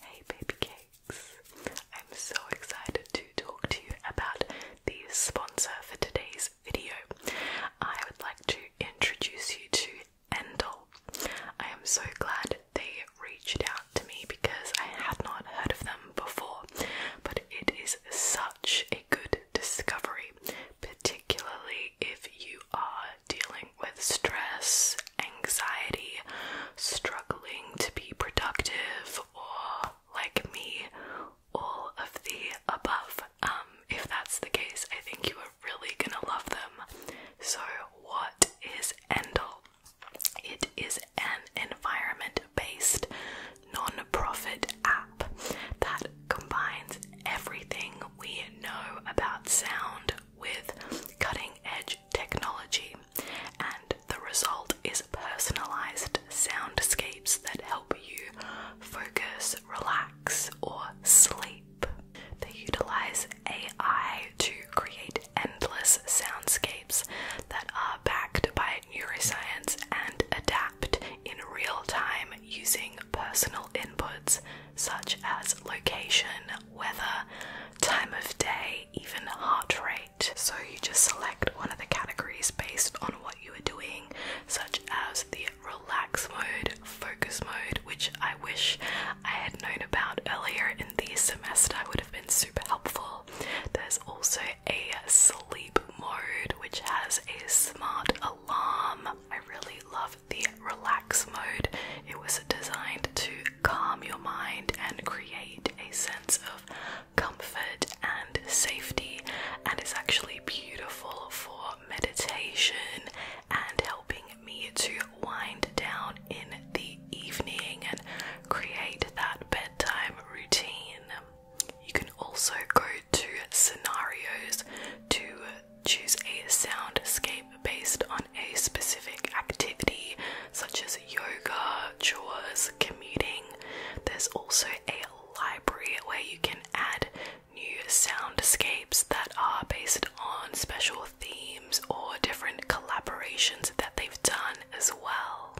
Hey, baby cakes! I'm so excited to talk to you about the sponsor for today's video. I would like to introduce you to Endel. I am so glad they reached out to me because I had not heard of them before, but it is such a good discovery, particularly if you are dealing with stress anxiety, struggling to be productive, or like me, all of the above. Um, if that's the case, I think you are really gonna love them. So, what is Endel? It is an environment based non profit app that combines everything we know about sound with cutting edge technology, and the result is personalized soundscapes that help you focus, relax, or sleep. They utilize AI to create endless soundscapes that are backed by neuroscience and adapt in real time using personal inputs such as location, weather, time of day, even heart rate. So you just select one of the categories based on what you are doing, such as the relax mode, focus mode, which I wish I had known about earlier in the semester, would have been super helpful. There's also a sleep mode, which has a smart alarm. I really love the relax mode. It was designed to calm your mind and create a sense of comfort and safety, and it's actually beautiful for meditation and helping me to wind down in the evening and create that bedtime routine. You can also go to scenarios to choose a sound scape based on a specific activity such as yoga, chores, commuting. There's also a library where you can add new soundscapes that are based on special themes or different collaborations that they've done as well.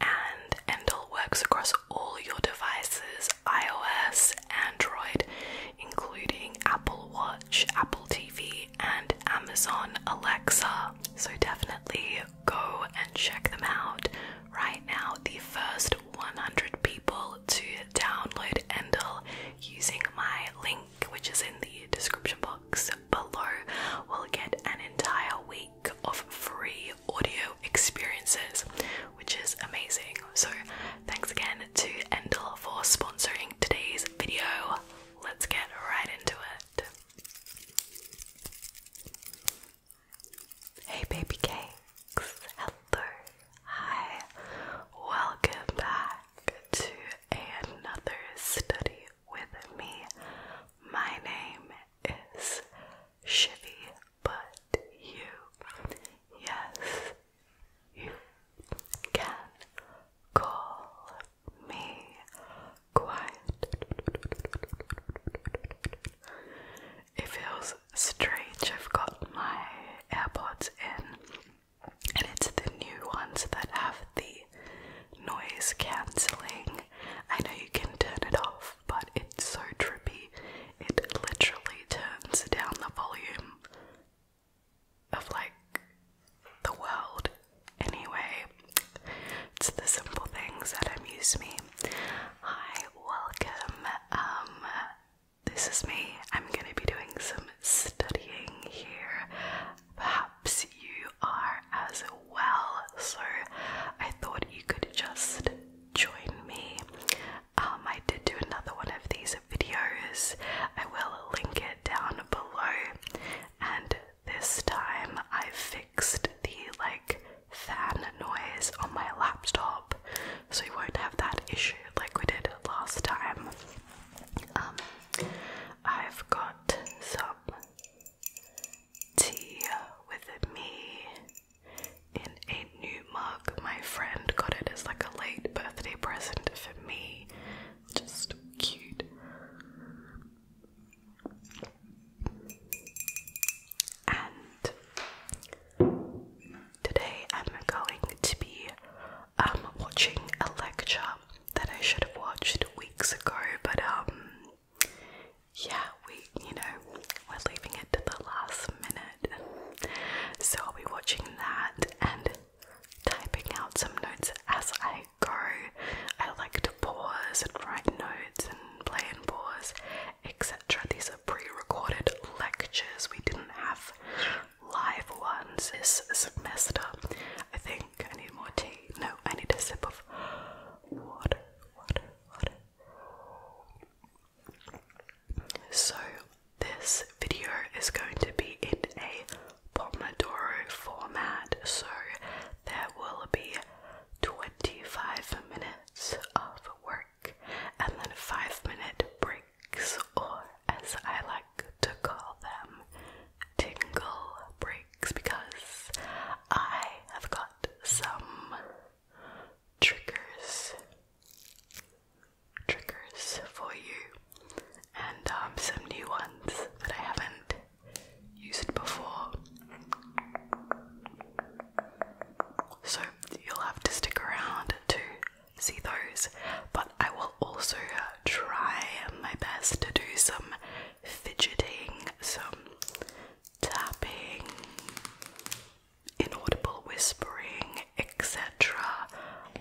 And Endel works across all your devices iOS, Android, including Apple Watch, Apple TV, and Amazon Alexa. So definitely go and check them out. Right now, the first 100 people to download Endel using my link, which is in the description box below, will get an entire week of free audio experiences, which is amazing. So, thanks again to Endel for sponsoring today's video let's get right into it. Hey, baby cakes. Hello. Hi. Welcome back to another study with me. My name is Shivy, but you, yes, you can call me quiet. It feels strange. I've got my AirPods in, and it's the new ones that have the noise cancelling. I know you can turn it off, but it's so trippy. It literally turns down the volume of like the world anyway. It's the simple things that amuse me. Hi, welcome. Um this is me. I'm gonna be doing some studying here. Perhaps you are as well, so I thought you could just join me. Um, I did do another one of these videos. I will link it down below, and this time I fixed the like fan noise on my laptop so you won't have that issue like we did last time. Um, I've got some tea with me in a new mug. My friend got it as like a late birthday present for me. Just cute. And today I'm going to be um, watching a lecture that I should have watched weeks ago, but um, yeah, we you know we're leaving it to the last minute, so I'll be watching that and typing out some notes as I go. I like to pause and write notes and play and pause, etc. These are pre recorded lectures. We didn't have live ones this semester. I think I need more tea. No, I need a sip of water, water, water. So, this video is going to be in a Pomodoro format, so there will be 25 minutes of work and then 5 minute breaks, or as I like to call them, tingle breaks, because I have got some triggers. Triggers for you, and um, some new ones that I haven't used before. So you'll have to stick around to see those, but I will also try my best to do some fidgeting, some tapping, inaudible whispering, etc.,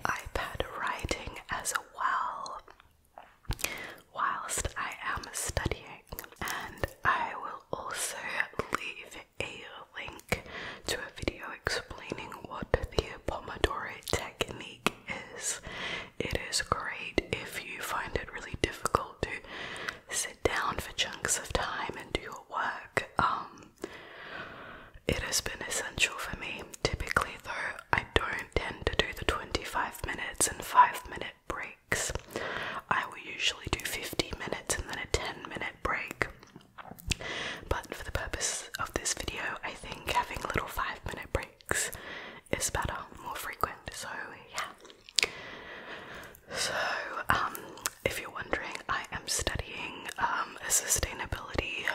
iPad writing as well whilst I am studying, and I will also leave a link to a video explaining what the Pomodoro technique is. It is great if you find it really difficult to sit down for chunks of time and do your work. Um, it has been essential for me. Typically, though, I don't tend to do the 25 minutes and 5 minute breaks. I will usually do 50 minutes and then a 10 minute break. But for the purpose of this video, I think having little 5 minute breaks is better, more frequent. So, yeah. So, um, if you're wondering, I am studying um, a sustainability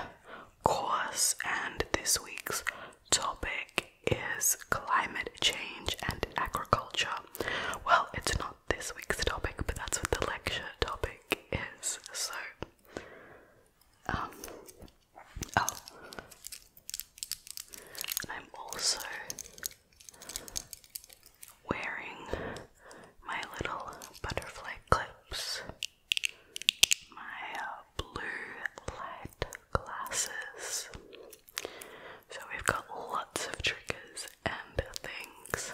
course, and this week's topic is climate change and agriculture. Well, it's not this week's topic, but that's what the lecture topic is. So, um, oh, I'm also wearing my little butterfly clips, my uh, blue light glasses. So we've got lots of triggers and things.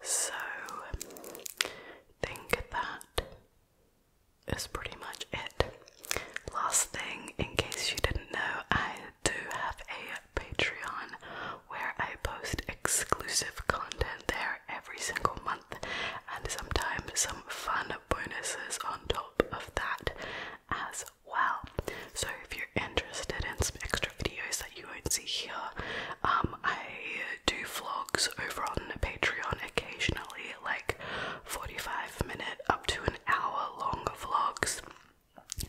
So think that is pretty much it. Last thing, in case you didn't know, I do have a Patreon where I post exclusive content there every single month and sometimes some fun bonuses on top of that as well. So if you're interested in some extra videos that you won't see here, um, I do vlogs over on Patreon occasionally, like 45 minute up to an hour long vlogs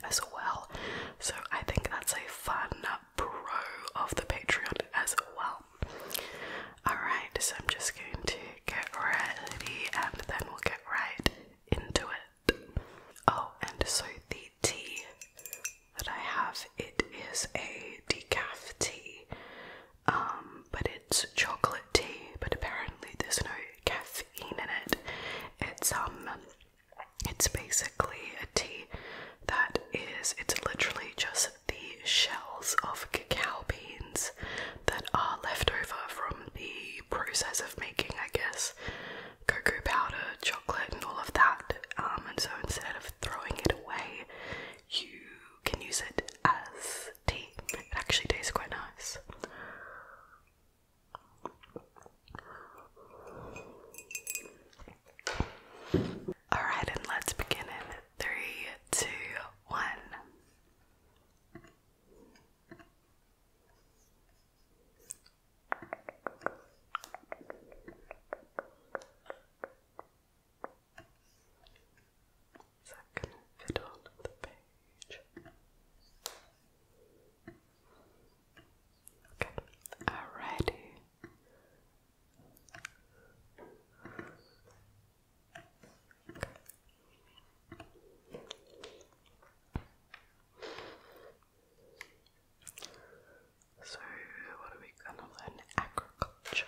as well. So I think that's a fun pro of the Patreon as well. Alright, so I'm just going to get ready and then we'll get right into it. Oh, and so the tea that I have, it is a decaf tea. Um, but it's chocolate tea, but apparently there's no caffeine in it. It's um it's basically a tea that is it's literally just the shells of cacao beans that are left over from the process of making, I guess, cocoa powder, chocolate, and all of that. Um, and so instead of throwing it away, you can use it as tea. It actually tastes quite nice. Alright, and let's begin in three, two, one. So I can the page. Okay, alrighty. So, what are we gonna learn? Agriculture.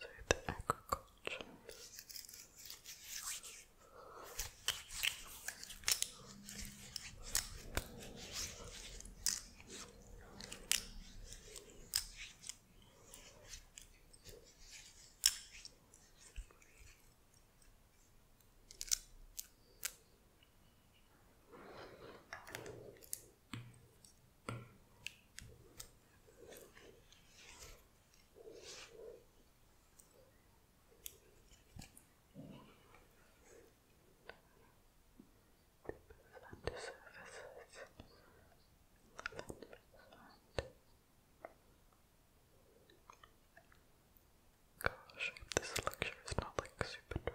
through the agriculture. Fund services. Gosh, this lecture is not like super dry.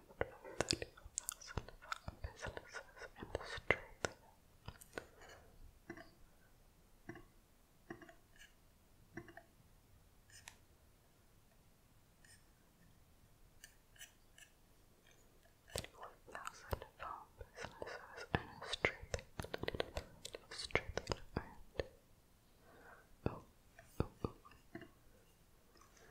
35,000 businesses in Australia. Thirty-one thousand farm businesses in Australia. Australia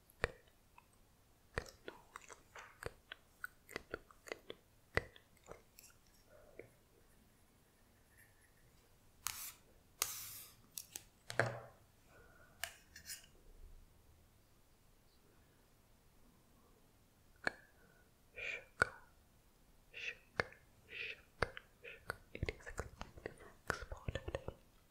Sugar, sugar, sugar, sugar. It is a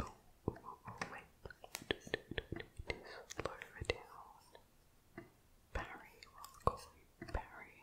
Oh, oh, oh, wait. Slow it down. Barry, what am I calling Barry?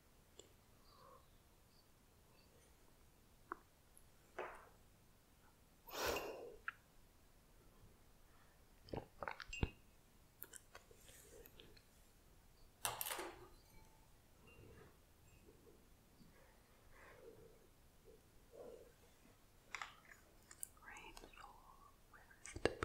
Rainfall with W A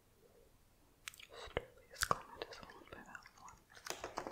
Sterlius Clement is owned by Valmont. What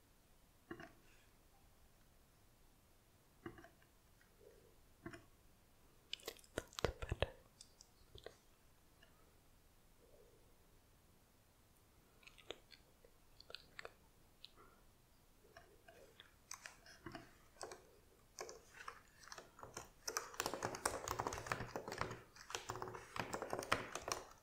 That's better. Okay.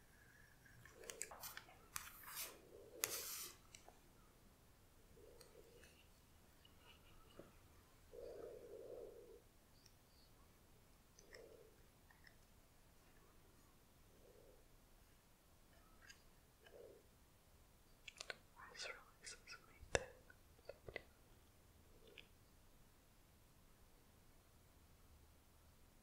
This releases me then. Thank you.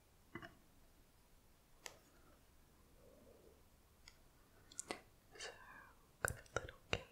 So got little cake.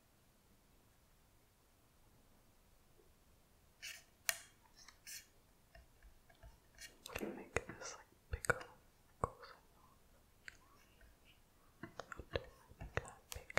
I can make this like bigger, Make that bigger.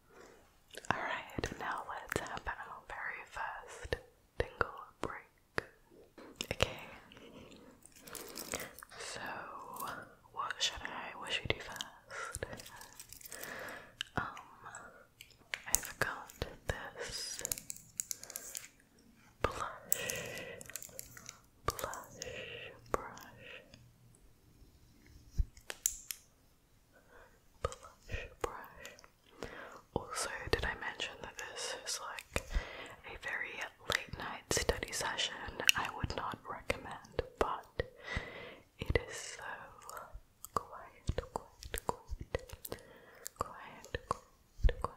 Alright, now let's have our very first tingle break. Okay. So, what should I, what should we do first? Um, I forgot this blush, blush brush. Blush brush. Also, did I mention that this is like a very late night study session? I would not recommend, but it is so quiet, quiet, quiet, quiet, quiet, quiet.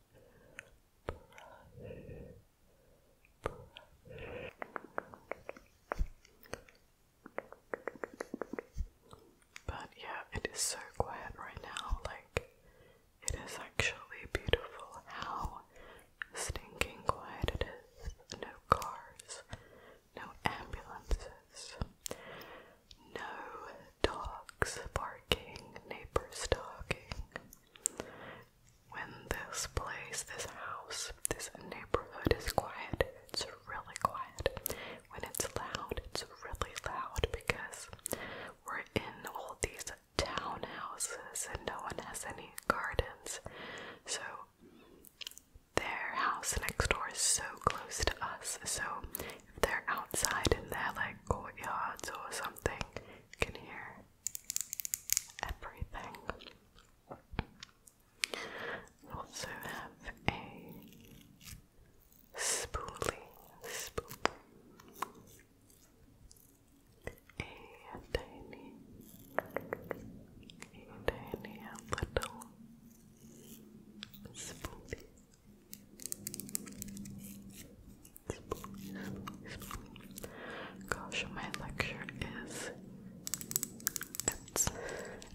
But yeah, it is so quiet right now. Like, it is actually beautiful how stinking quiet it is. No cars, no ambulances, no dogs barking, neighbors talking. When this place, this house, this neighborhood is quiet, it's really quiet. When it's loud, it's really loud because we're in all these townhouses and no one has any gardens. So their house next door is so close to us. So if they're outside in their like courtyards or something, you can hear everything. also have a spoolie, spoolie, a tiny, a tiny little spoolie. Gosh, my lecture is it's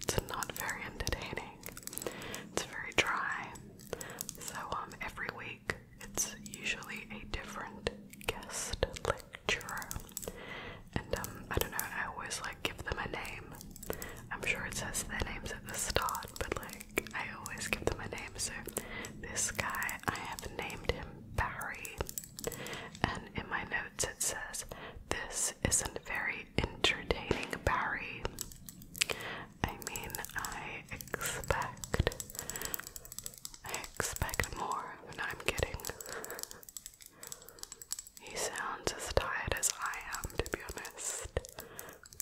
it's not very entertaining. It's very dry. So um every week it's usually a different guest lecturer. And um I don't know, I always like give them a name. I'm sure it says their names at the start, but like I always give them a name. So this guy, I have named him Barry. And in my notes it says, This isn't very entertaining, Barry. I mean, I expect. expect more. No, I'm getting. He sounds as tired as I am, to be honest.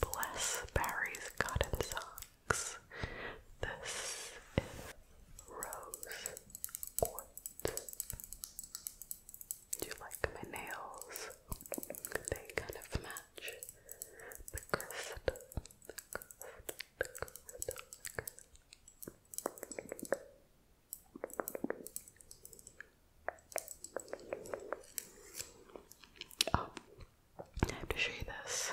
Bless Barry's cotton socks six. This is rose quartz. Do you like my nails? They kind of match the crystal. I have to show you this.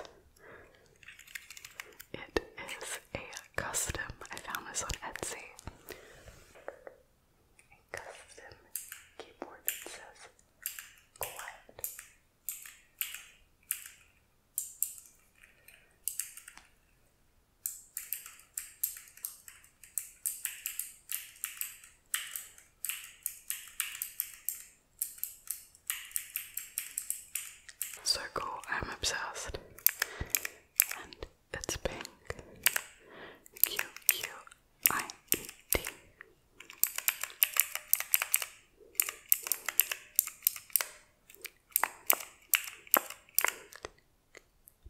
It is a custom. I found this on Etsy. custom keyboard that says quiet. Circle. I'm obsessed. And it's pink. Q Q I E T.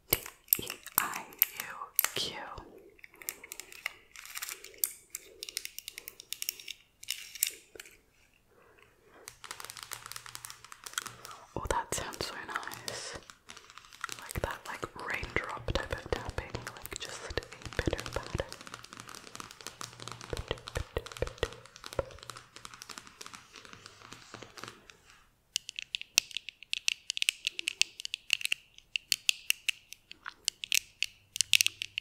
D E I U Q. Oh, that sounds so nice. Like that, like raindrop type of tapping, like just a bitter patter. Bitter,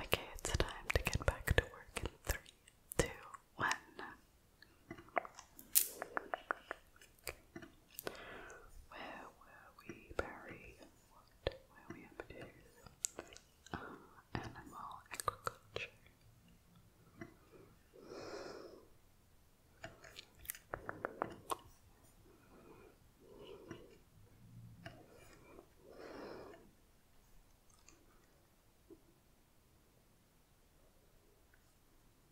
Okay, it's time to get back to work in three, two, one. Where were we, Barry? What were we up to? animal agriculture.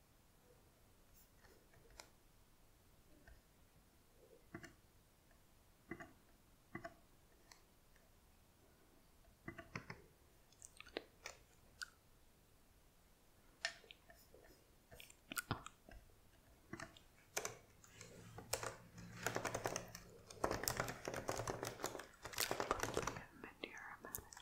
Put a little bit of aromatic.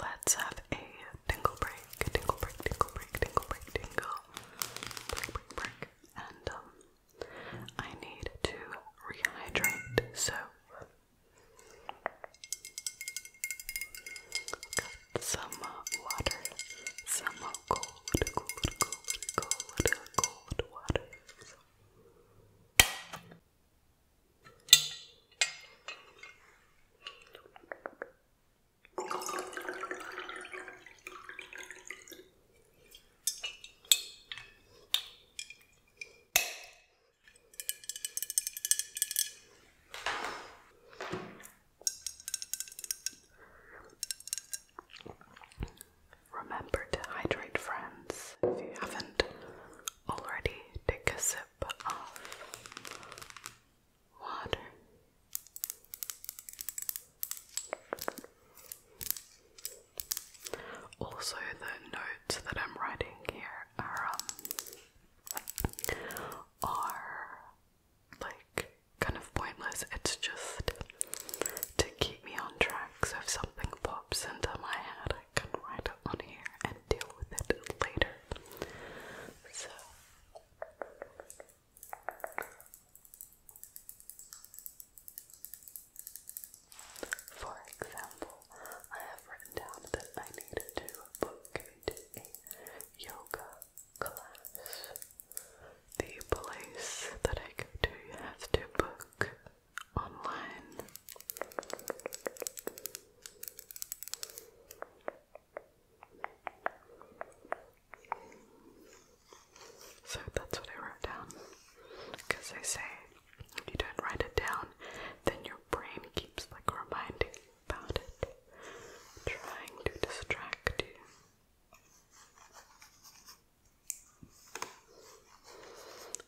Let's have a tingle break, tingle break, tingle break, tingle break, tingle break, break, break. And um, I need to rehydrate, so some uh, water, some uh, cold, cold, cold, cold, cold water. Remember to hydrate, friends, if you haven't already take a sip of water. Also, the notes that I'm writing here are um, are like kind of pointless. It's just to keep me on track. if something pops into my head, I can write it on here and deal with it later. So for example, I have written down that I need to book into a yoga class. The place that I go to has to book online. So that's what I wrote down. Because they say if you don't write it down, then your brain keeps like reminding about it, trying to distract you.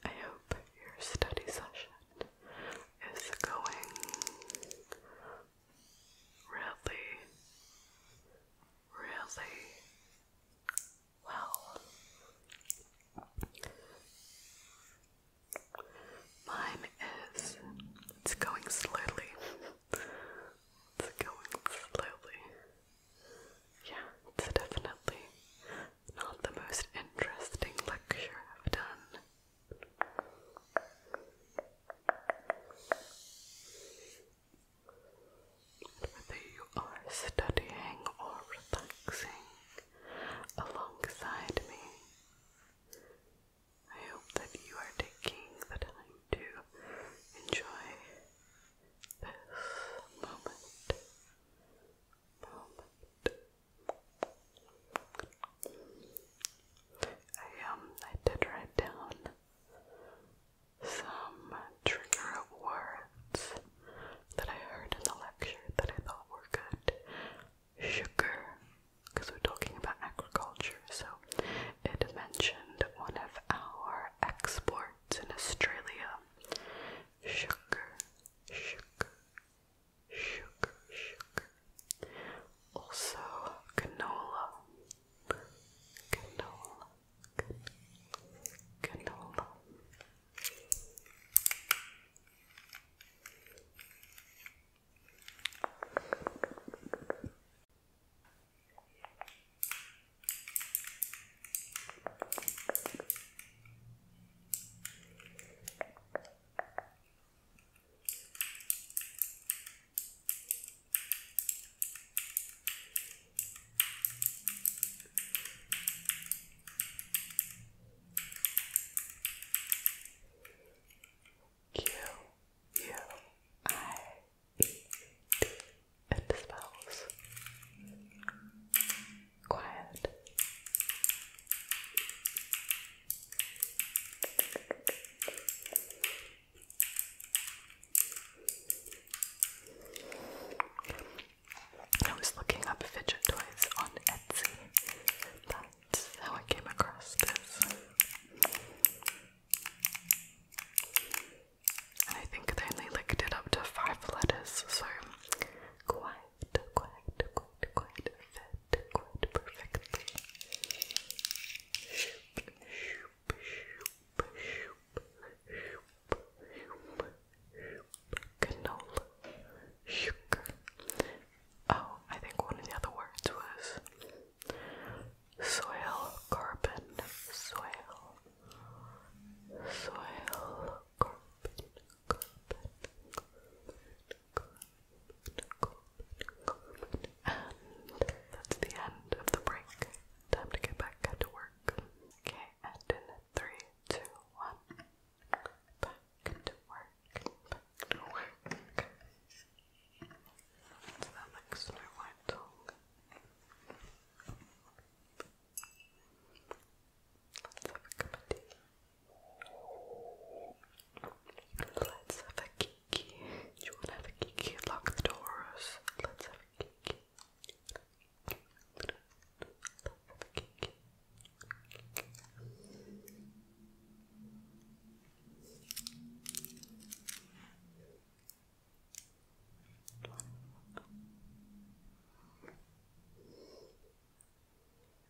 I hope your study session that is going really, really well. Mine is, it's going slowly. It's going slowly. Yeah, it's definitely not the most interesting lecture I've done. Whether you are studying or relaxing alongside me, I hope that you are taking the time to enjoy this moment. Moment I um I did write down some trigger words that I heard in the lecture that I thought were good. Sugar, because we're talking about agriculture, so it mentioned one of our exports in Australia. Sugar, sugar, sugar, sugar. Also, canola, canola, canola. Q U I E T it spells quiet. I was looking up fidget toys on Etsy. That's how I came across this. And I think they only licked it up to five letters, so quiet quite, quite, quite, quite quite perfectly. Shoop, shoop, shoop, shoop, shoop, shoop. Canola, Oh, I think one of the other words was soil carbon, soil, soil carbon, and that's the end of the break. Time to get back to work. Okay, and in three, two, one. Back to work. Back to work. So that like Snow White song. Let's have a cup Let's have a kiki. you want have a kiki? Lock the doors. Let's have a kiki. Let's have a kiki.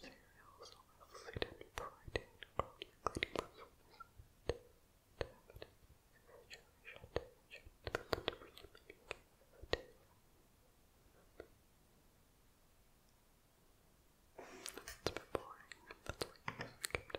Cereals are fluid and protein, including performance and saturation, tension, and relieving It's a bit boring, that's why I skipped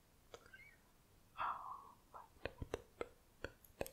Oh, my God. Okay.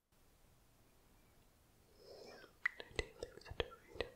Did he leave the tomato?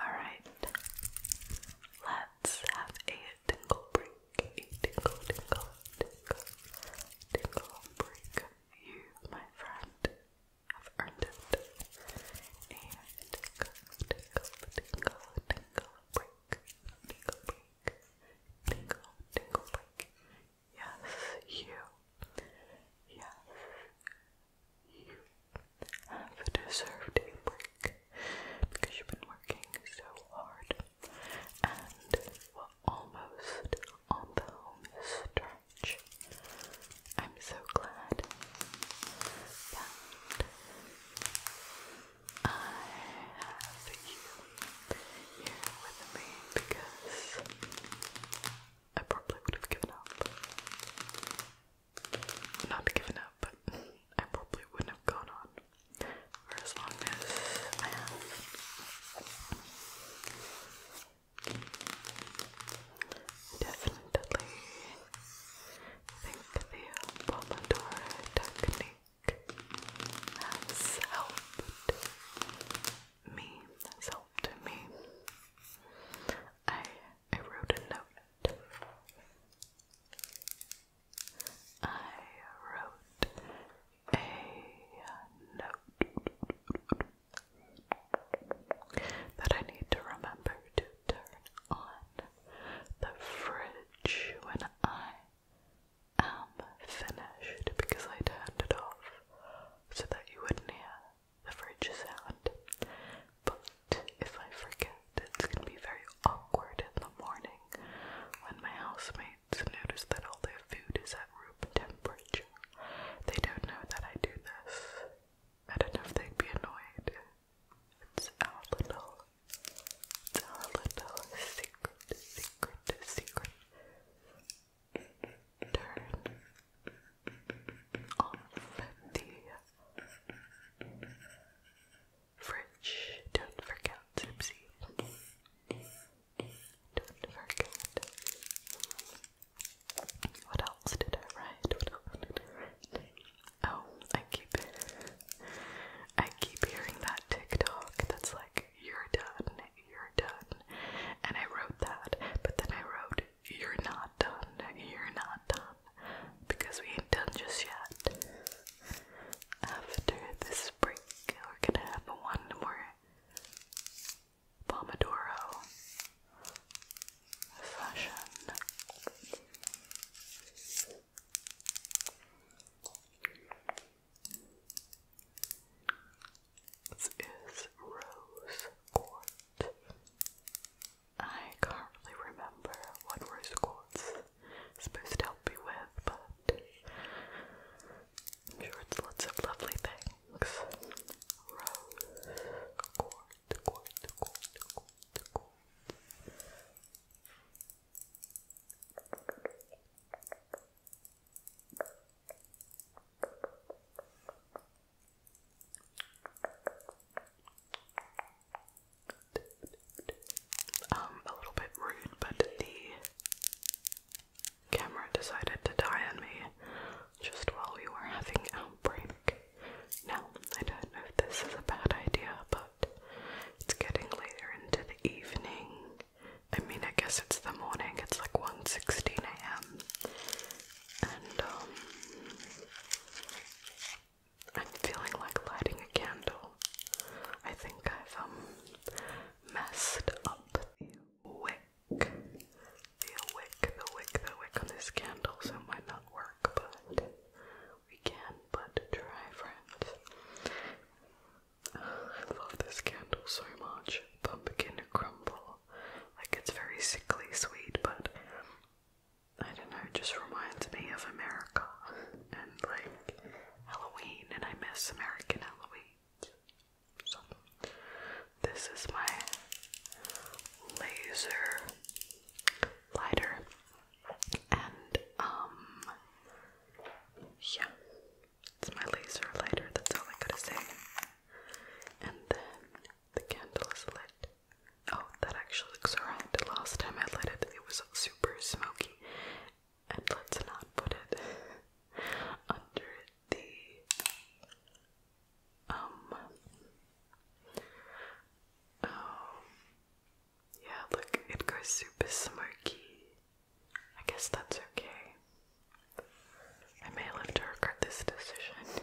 All right, let's have a tingle break. A tingle, tingle, tingle, tingle break. You, my friend, have earned it. And tickle, tickle, tickle, tickle, break, tickle, break, tickle, tickle, break. Yes, you. Yes, you have deserved a break because you've been working so hard and we're almost on the home I'm so glad that I have you here with me because I probably would have given up. Not given up, but I probably wouldn't have gone on for as long as I have. Definitely think the Pomodoro technique has helped me, has helped me. I, I wrote a note. I wrote a note that I need to remember to turn on the fridge when I am finished because I turned it off so that you wouldn't hear the fridge sound. But if I forget, it's gonna be very awkward in the morning when my housemates notice that all their food is at room temperature. They don't know that I do this I don't know if they'd be annoyed. It's our little, it's our little secret, secret, secret turn on the fridge. Don't forget, Don't forget. What else did I write? Oh, I keep I keep hearing that TikTok that's like, you're done, you're done. And I wrote that, but then I wrote, you're not done, you're not done. Because we ain't done just yet. After this break, we're gonna have one more Pomodoro fashion. This is Rose Quartz. I can't really remember what Rose Quartz is supposed to help you with, but I'm sure it's lots of lovely things. Rose Quartz cold, Um, a little bit rude, but the camera decided to die on me just while we were having our break. Now, I don't know if this is a bad idea, but it's getting later into the evening. I mean, I guess it's the morning, it's like 1.16 a.m. And, um, I'm feeling like lighting a candle. I think I've, um, messed up the wick. The wick, the wick, the wick on this candle, so it might not work but we can but try, friends. I love this candle so much. Pumpkin crumble. Like it's very sickly sweet, but I don't know, it just reminds me of America and like Halloween, and I miss American Halloween. So, this is my laser lighter and um yeah it's my laser lighter that's all I gotta say and then the candle is lit oh that actually looks alright the last time I lit it it was super smoky and let's not put it under the um. Oh. Yeah, look, it goes super smoky. I guess that's okay. I may live to this decision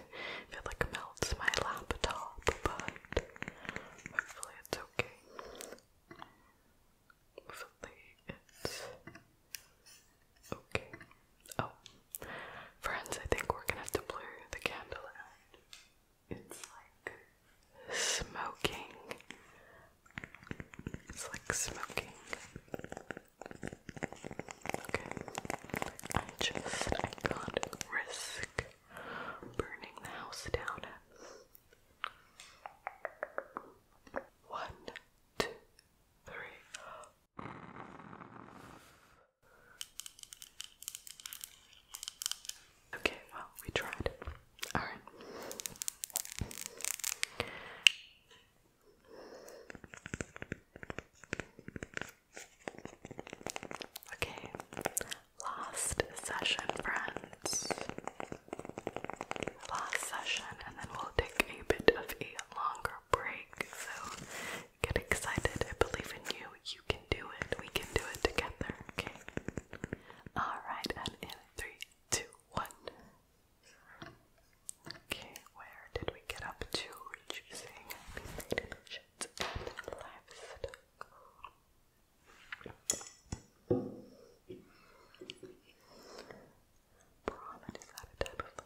if it like melts my laptop, but hopefully it's okay. Hopefully it's okay. Oh, Friends, I think we're gonna have to blow the candle out. It's like smoking. It's like smoking. Okay. I just I can't risk burning the house down. One, two, three. Okay, well, we tried. Alright. Okay, last session, friends. Last session, and then we'll take a bit of a longer break. So, Get excited. I believe in you. You can do it. We can do it together. Okay. Alright, and in three, two, one. Okay, where did we get up to? Choosing related and livestock. Brahman is that a type of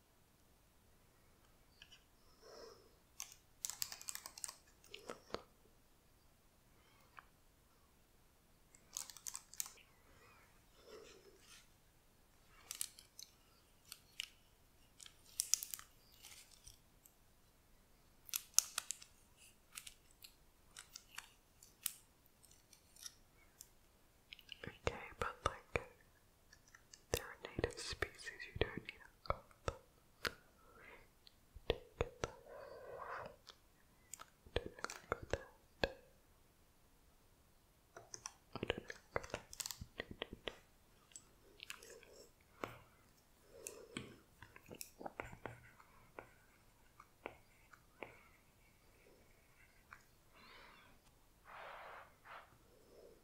Okay, but like they're native species, you don't need a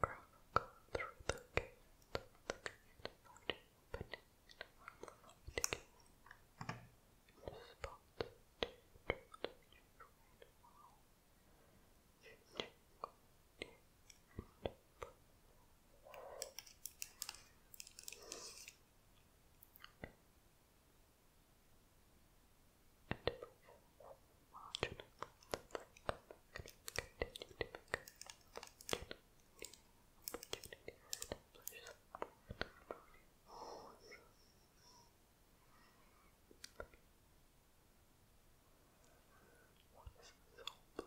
chronicle through the gate, the gate beneath the lofty gate, in the spot to the usual wall, changing dear and poor. And it was marginal that the public continued to become marginal opportunity to What is this whole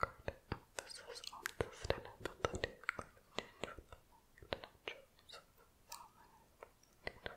Great emphasis on sustainability, including change the natural Yeah, Thank you.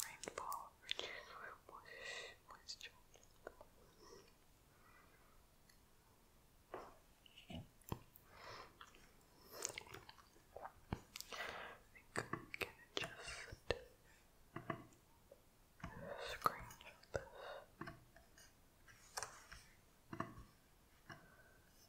Rainfall reduces moisture. I can adjust the screen this.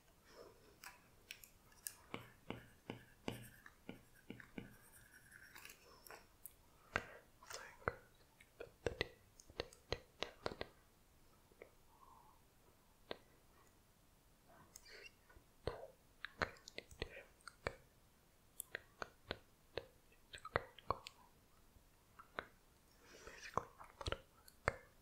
Basically, I'm not a worker.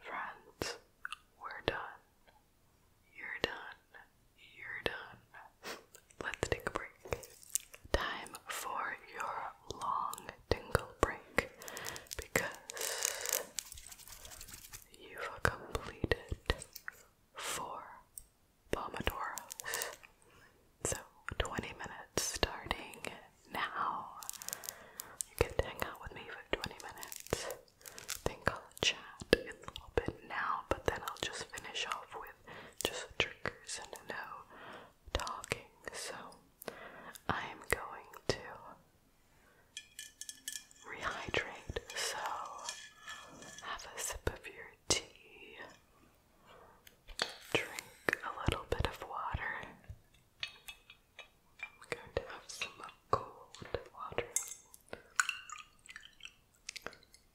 Friends, we're done. You're done. You're done. Let's take a break. Time for your long tingle break because you've completed four Pomodoros. So 20 minutes starting now. You can hang out with me for 20 minutes. Then chat a little bit now, but then I'll just finish off with just triggers and no talking. So I'm going to rehydrate. So have a sip of your tea. Drink a little bit of water. I'm going to have some cold water.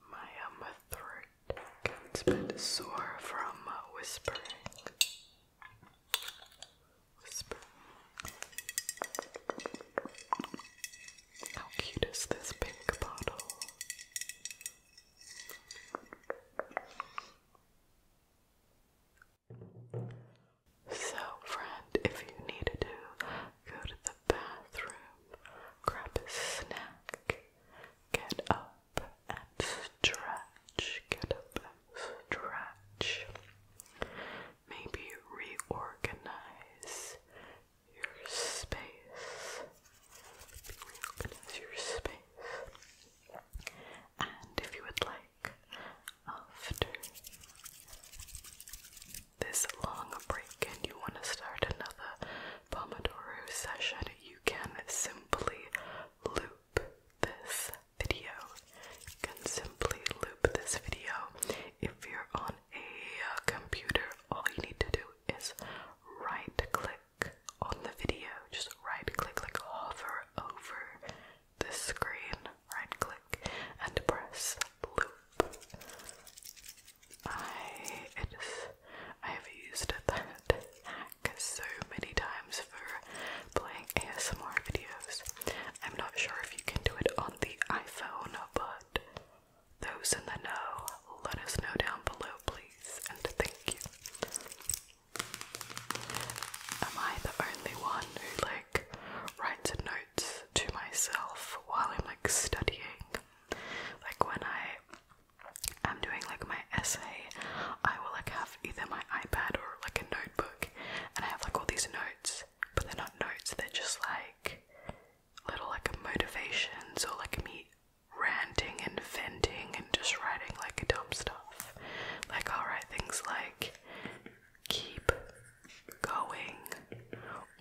My, um, throat gets a bit sore from uh, whispering. How cute is this pink bottle? So, friend, if you needed to go to the bathroom, grab a snack, get up and stretch, get up and stretch. Maybe reorganize your space. Reorganize your space. And if you would like, after this long break and you want to start another Pomodoro session, you can simply loop this video. You can simply loop this video. If you're on a uh, computer, all you need to do is right click on the video. Just right click, like hover over this screen, right click, and press loop. I I have used that hack so many times for playing ASMR videos. I'm not sure if you can do it on the iPhone, but those in the know, let us know down below, please, and thank you. Am I the only one who like writes notes to myself while I'm like studying? Like when I am doing like my essay, I will like have either my iPad or like a notebook and I have like all these notes, but they're not notes, they're just like little like motivations or like me ranting and venting and just writing like dumb stuff. Like I'll write things like keep going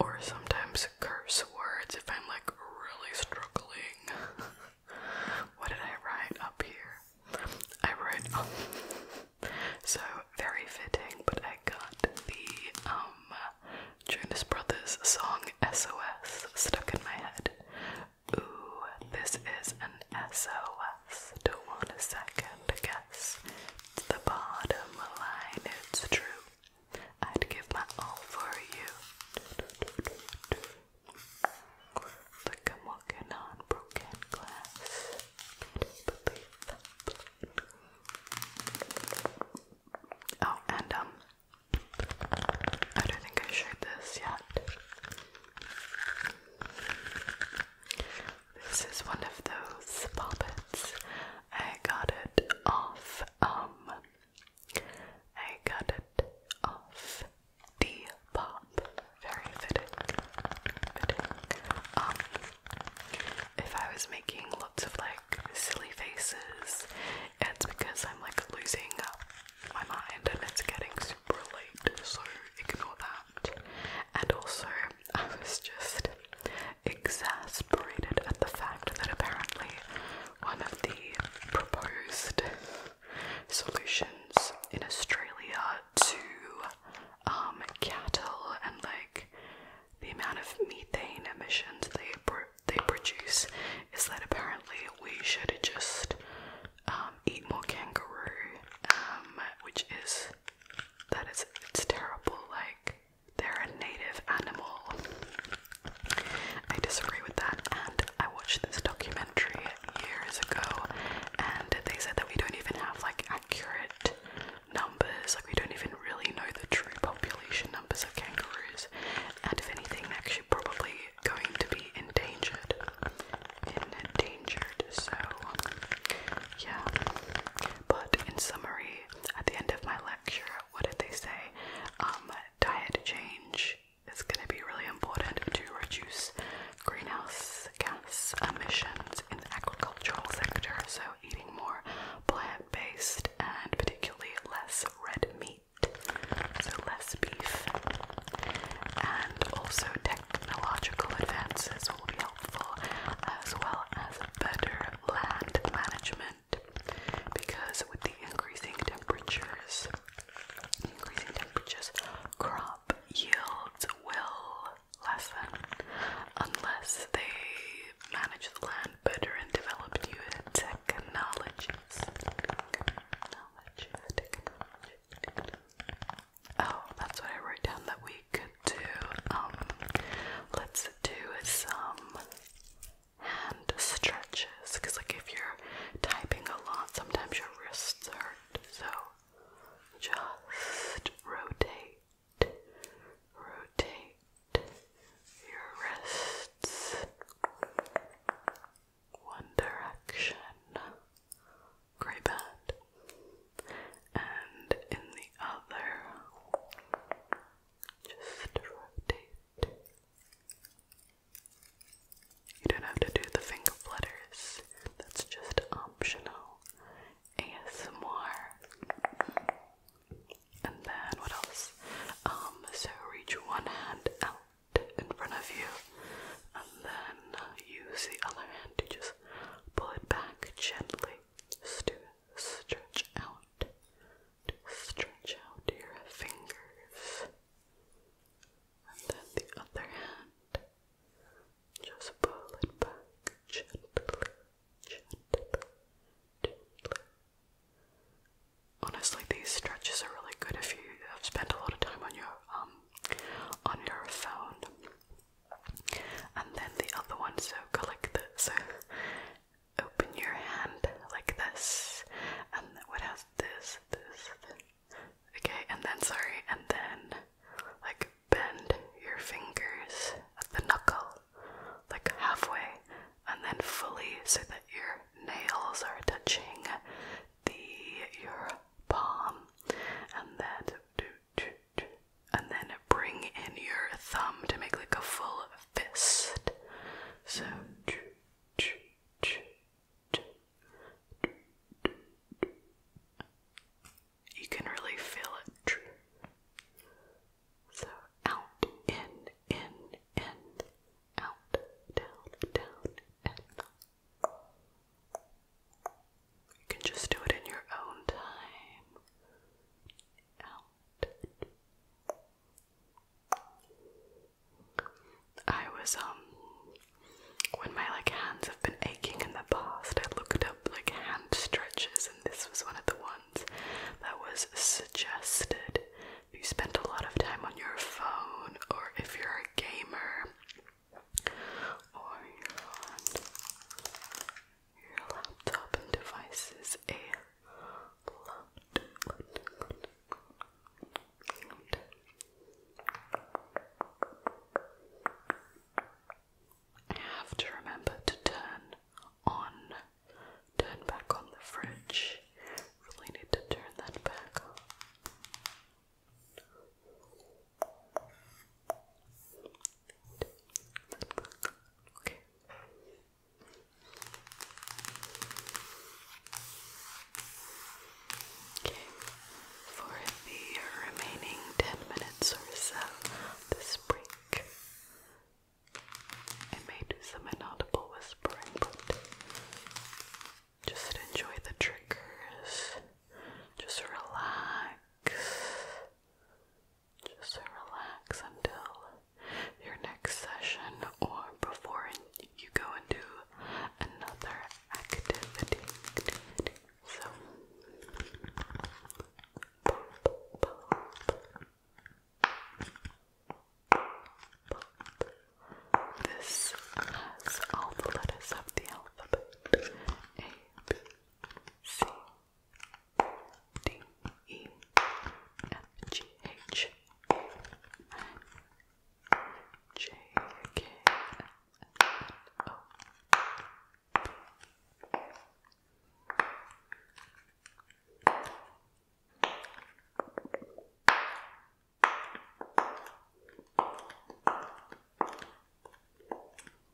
or sometimes curse words if I'm like really struggling. what did I write up here? I wrote um, so very fitting, but I got the um Jonas Brothers song SOS stuck in my head. Ooh, this is an SOS worth. Don't want a second guess. To the bottom line, it's true. I'd give my all for you. Like I'm walking on broken glass. Oh, and um, I don't think I showed this yet. This is one of those puppets. I got it off, um, I got it off the pop. Very fitting. Fitting. Um, if I was making lots of like silly faces, it's because I'm like losing my mind and it's getting super late, so ignore that. And also, I was just exasperated at the fact that apparently one of the proposed solutions in Australia to um, cattle and like the amount of methane emissions they pro they produce is that apparently we should just um, eat More Kangaroo, um, which is that is it's terrible. Like they're a native animal. I disagree with that, and I watched this documentary years ago, and they said that we don't even have like accurate numbers. Like we don't even really know the true population numbers of kangaroos, and if anything, they're actually probably going to be endangered endangered. So, yeah. But in summary, at the end of my lecture, what did they say? Um, diet change is going to be really important to reduce greenhouse gas emissions in the agricultural sector. So, eating more plant based and particularly less red meat. So, less beef and also technological advances will be helpful as well as better land management because with the increasing temperatures increasing temperatures crop yields will lessen unless they manage the land better and develop new technologies. Oh, that's what I wrote down that we could do. Um, let's do some hand stretches because, like, if you're typing a lot, sometimes your wrists hurt. So just rotate, rotate your wrists one direction grey bed, and in the other, just rotate. You don't have to do the finger flutters, that's just optional ASMR. And then what else? Um, so reach one hand out in front of you and then use the other to just pull it back gently. to stretch out, stretch out your fingers. And then the other hand, just pull it back gently, gently, gently. Honestly, these stretches are really good if you have spent a lot of time on your um on your phone. And then the other one, so collect. like So open your hand like this. And what else? This, this, this. Okay, and then, sorry, and then like bend your fingers at the knuckle, like halfway, and then fully so that your nails are touching the your palm and then and then bring in your thumb to make like a full fist. So you can really feel it. So out, in, in, in, out, down, down, and you can just do it in your own time. I was um when my like hands have been aching in the past, I looked up like hand stretches and this was one of the ones that was suggested. If you spend a lot of time on your phone or if you're a gamer or your laptop and devices a have to remember to turn on, turn back on the fridge. Really need to turn that back Okay. Okay. For the remaining ten minutes or so this break, I may do some inaudible whispering, but just enjoy the triggers. Just relax. Just relax until your next session or before you go and another activity. So, this has all the letters of the alphabet A, B, C D E F G H I J K L O P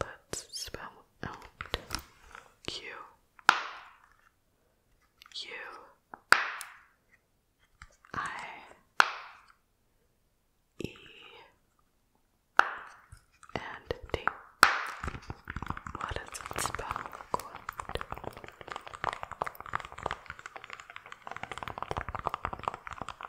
Let's spell out Q U I E and D. What does it spell? Quote.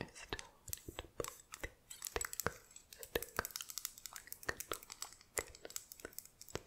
I still need to put the stick, stick on the Good.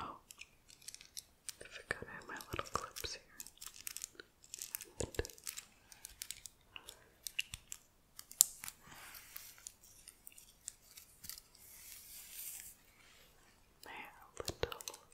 Oh, I forgot my little clips here. they little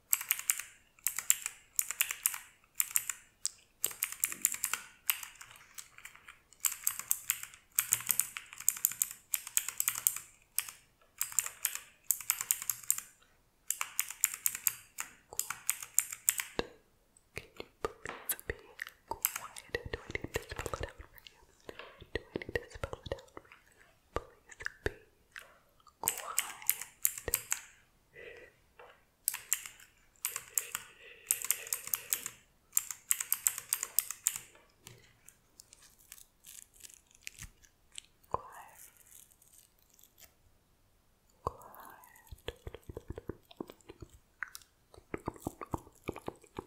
Good. Can you please be quiet? Do I need to spell it out for you? Do I need to spell it out for you? Please be quiet. Quiet. Quiet. Quiet. Quiet. Quiet. Quiet.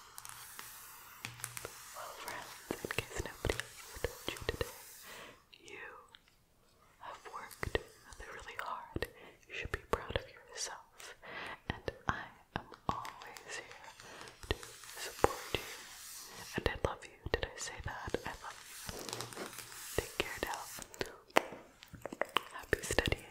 Well friends, in case nobody told you today, you have worked really hard. You should be proud of yourself. And I am always here to support you. And I love you. Did I say that? I love you. Take care now. Happy studying.